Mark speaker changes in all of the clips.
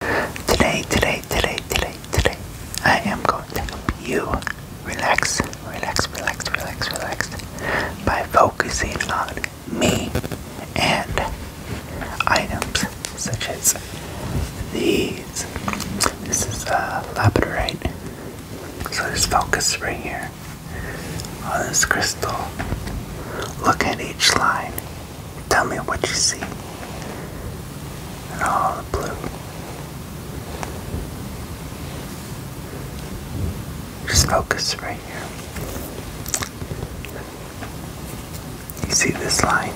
Speaker 1: Today, today, today, today, today, I am going to help you relax, relax, relax, relax, relax by focusing on me and items such as these. This is a uh, labradorite, so just focus right here on this crystal. Look at each line. Tell me what you see. And all the blue. Just focus right here. You see this line?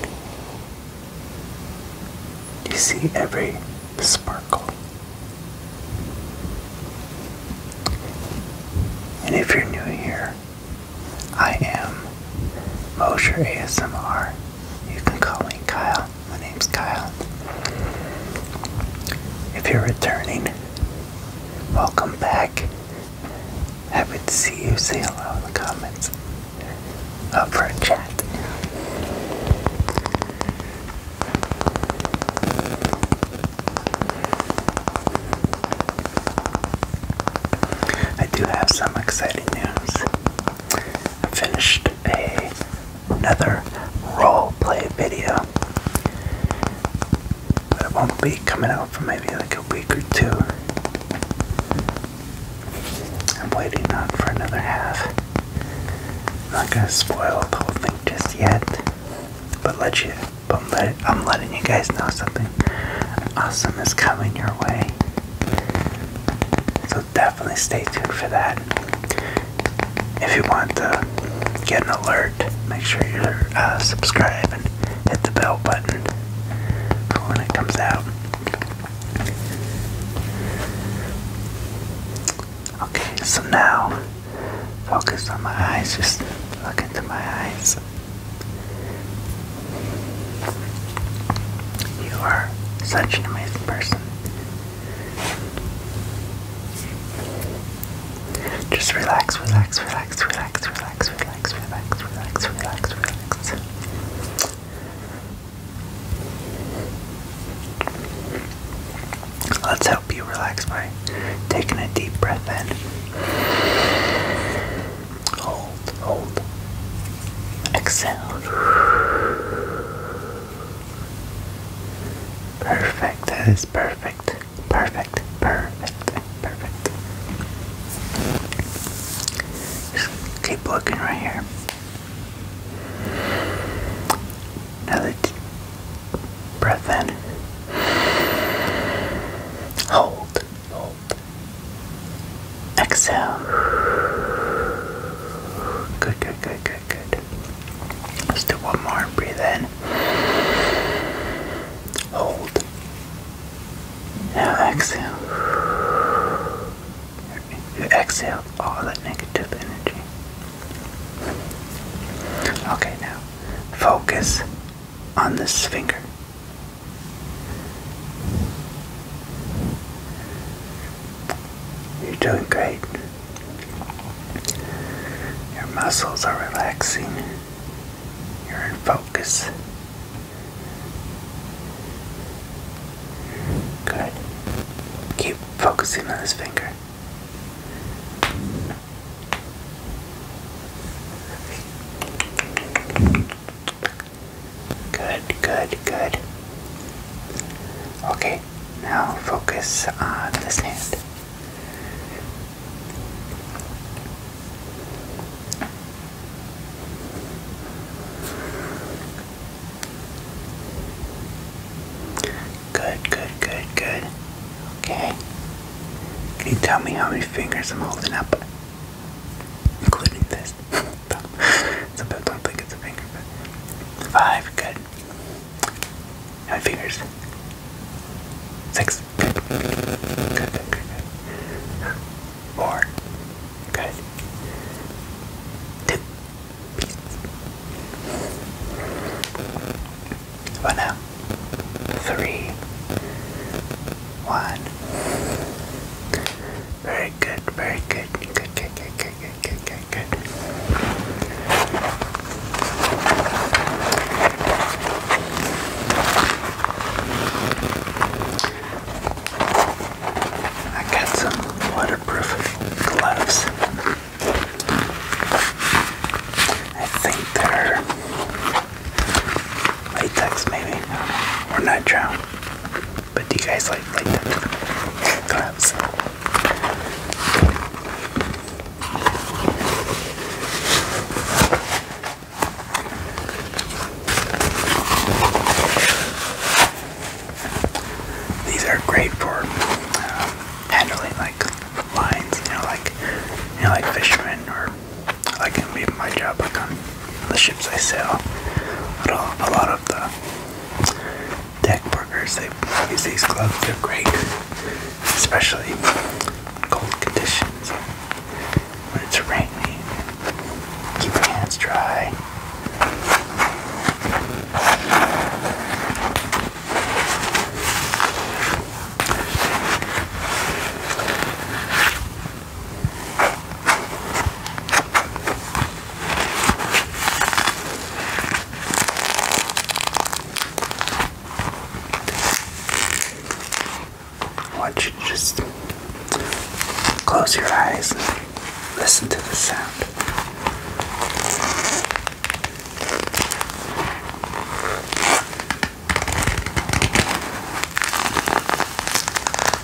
Speaker 1: You see every sparkle. And if you're new here, I am Mosher ASMR. You can call me Kyle. My name's Kyle. If you're returning, welcome back. Happy to see you. Say hello in the comments. Up for a chat. I do have some exciting news. I finished a, another role play video, but it won't be coming out for maybe like a week or two. I'm waiting on for another half. not gonna spoil the whole thing just yet, but let you. But I'm letting you guys know something awesome is coming your way. So definitely stay tuned for that. If you want to get an alert, make sure you're uh, subscribed and hit the bell button for when it comes out. Okay, so now focus on my eyes, just look into my eyes. You are such an amazing person. Just relax, relax, relax, relax, relax, relax, relax, relax, relax, relax. Let's help you relax by taking a deep breath in. Hold, hold. Exhale. Perfect. That is perfect. Perfect. Perfect. Perfect. Just keep looking right here. Another deep breath in. Hold. Exhale. Good, good, good, good, good. Let's do one more. Breathe in. Hold. Now exhale. You exhale all that negative energy. Okay, now focus on this finger. You're doing great. Your muscles are relaxing. You're in focus. Good. Keep focusing on this finger. Good, good, good. Okay, now focus on this hand. Good, good, good, good. Okay. Can you tell me how many fingers I'm holding up? Including this. thumb. it's a finger, five, good. How fingers? Six. Good, good, good, Four. Good. Two. Very good, very good. Good, good, good, good, good, good, good, good. I got some waterproof gloves. I think they're latex, maybe. Or nitrile. But do you guys like like the claps? These are great for um, handling like lines, you know, like you know, like fishermen or like it'd my job like on the ships I sail. A lot of the deck workers, they use these gloves. They're great, especially cold conditions. When it's rainy, keep your hands dry. I want you to just close your eyes and listen to the sound.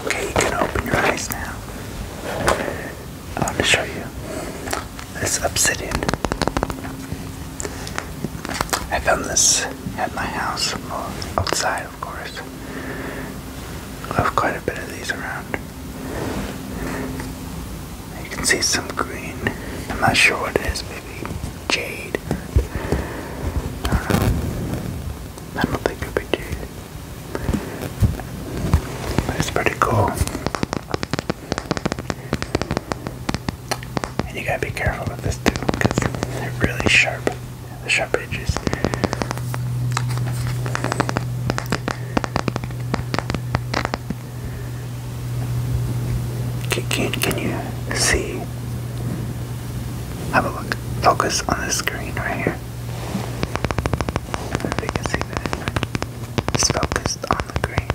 Speaker 1: Okay, you can open your eyes now. I want to show you this obsidian. I found this at my house outside of course. Left quite a bit of these around. You can see some green. I'm not sure what it is, maybe jade. I don't know. I don't think it'd be jade. it's pretty cool. And you gotta be careful with this too, they're really sharp the sharp edges. Can, can, you see? Have a look. Focus on the screen right here. If on the green.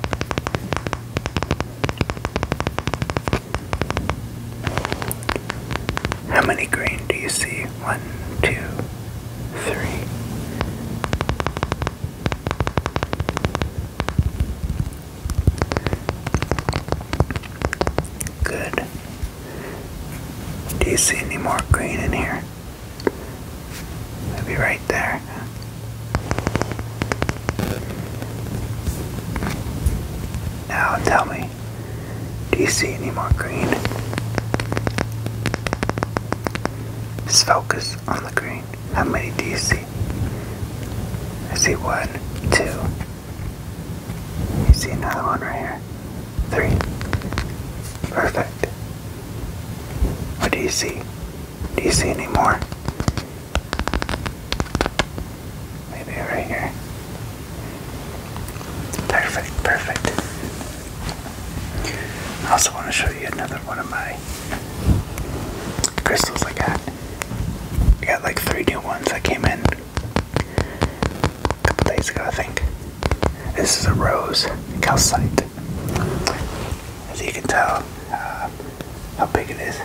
Speaker 1: How many green do you see? One, two, three. Good. Do you see any more green in here? Maybe right there. Now tell me, do you see any more green? Just focus on the green. How many do you see? I see one, two. You see another one right here. Three. Perfect. What do you see? Do you see any more? Maybe right here. Perfect, perfect. I also want to show you another one of my crystals I got. I got like three new ones that came in a couple days ago, I think. This is a rose calcite. As you can tell, uh, how big it is.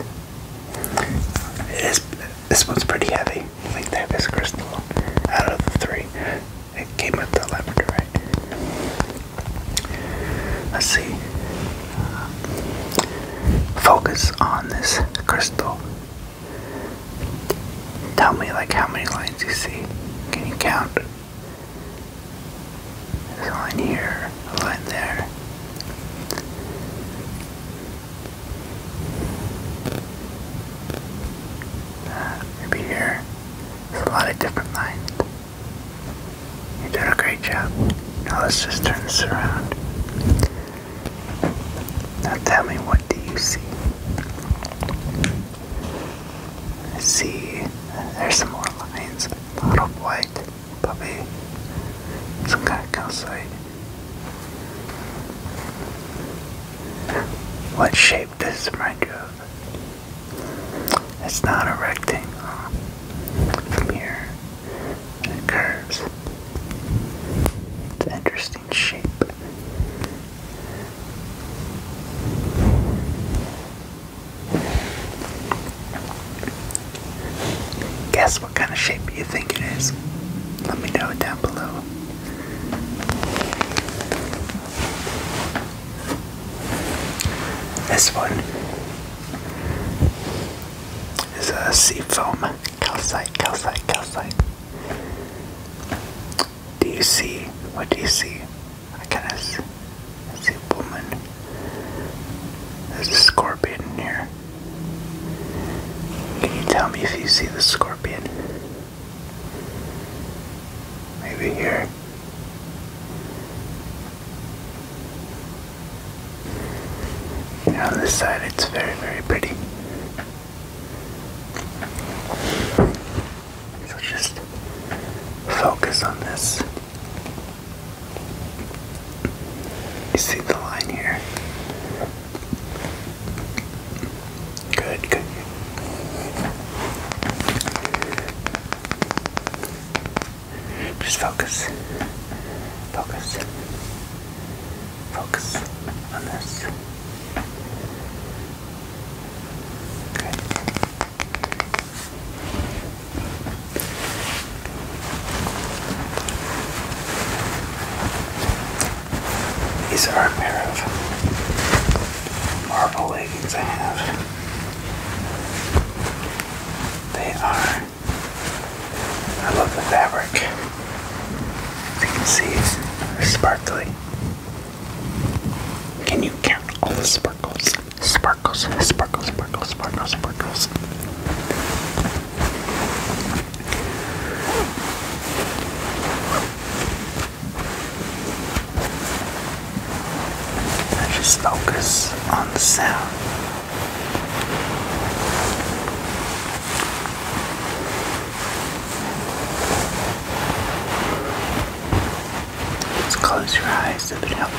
Speaker 1: It is. This one's pretty heavy. I think this crystal out of the three. It came with the laboratory. Let's see. Focus on this crystal. Tell me, like, how many lines you see. Can you count? There's a line here, a line there. Uh, maybe here. There's a lot of different lines. You did a great job. Now let's just turn this around. Now tell me, what do you see? I see uh, there's some more lines. A lot of white, It's some kind of calcite. What shape does this remind you It's not a rectangle. From here, it curves. It's an interesting shape. Guess what kind of shape you think it is? Let me know down below. This one is a seafoam calcite, calcite, calcite. Do you see? What do you see? I kind of see, see a woman. There's a scorpion in here. Can you tell me if you see the scorpion? Maybe here. On this side, it's very, very pretty. So just focus on this. You see the line here? Good, good. Just focus. Focus. Focus on this. Good. These are a pair of marble leggings I have. They are. I love the fabric. you can see, they're sparkly. Can you count all the sparkles? Sparkles, sparkles, sparkles, sparkles, sparkles just focus on the sound. Let's close your eyes if it helps.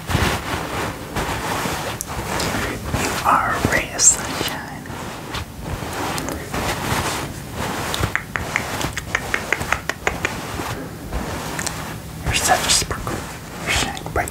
Speaker 1: You are a ray of sunshine. You're such a sparkle. You are shining bright.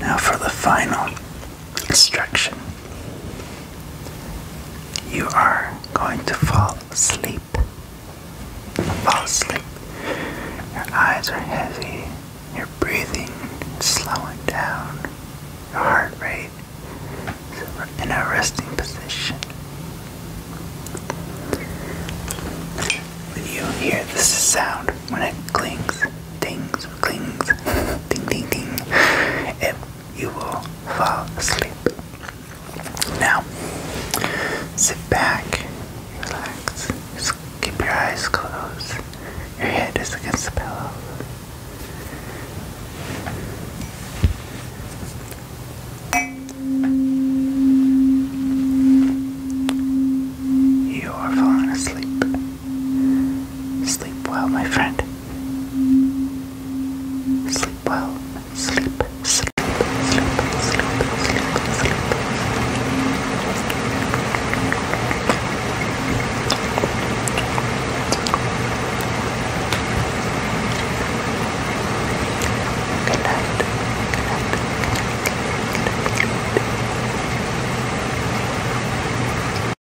Speaker 1: Now for the final instruction. You are going to fall asleep. Fall asleep. Your eyes are heavy. Your breathing slowing down. Your heart rate is in a resting position. You hear this sound when it clings, dings, clings, ding, ding, ding. It you will fall asleep. Now, sit back, relax, keep your eyes closed. Your head is against the pillow. You are falling asleep. Sleep well, my friend. Sleep well. Sleep, sleep, sleep, sleep, sleep, sleep. Good night.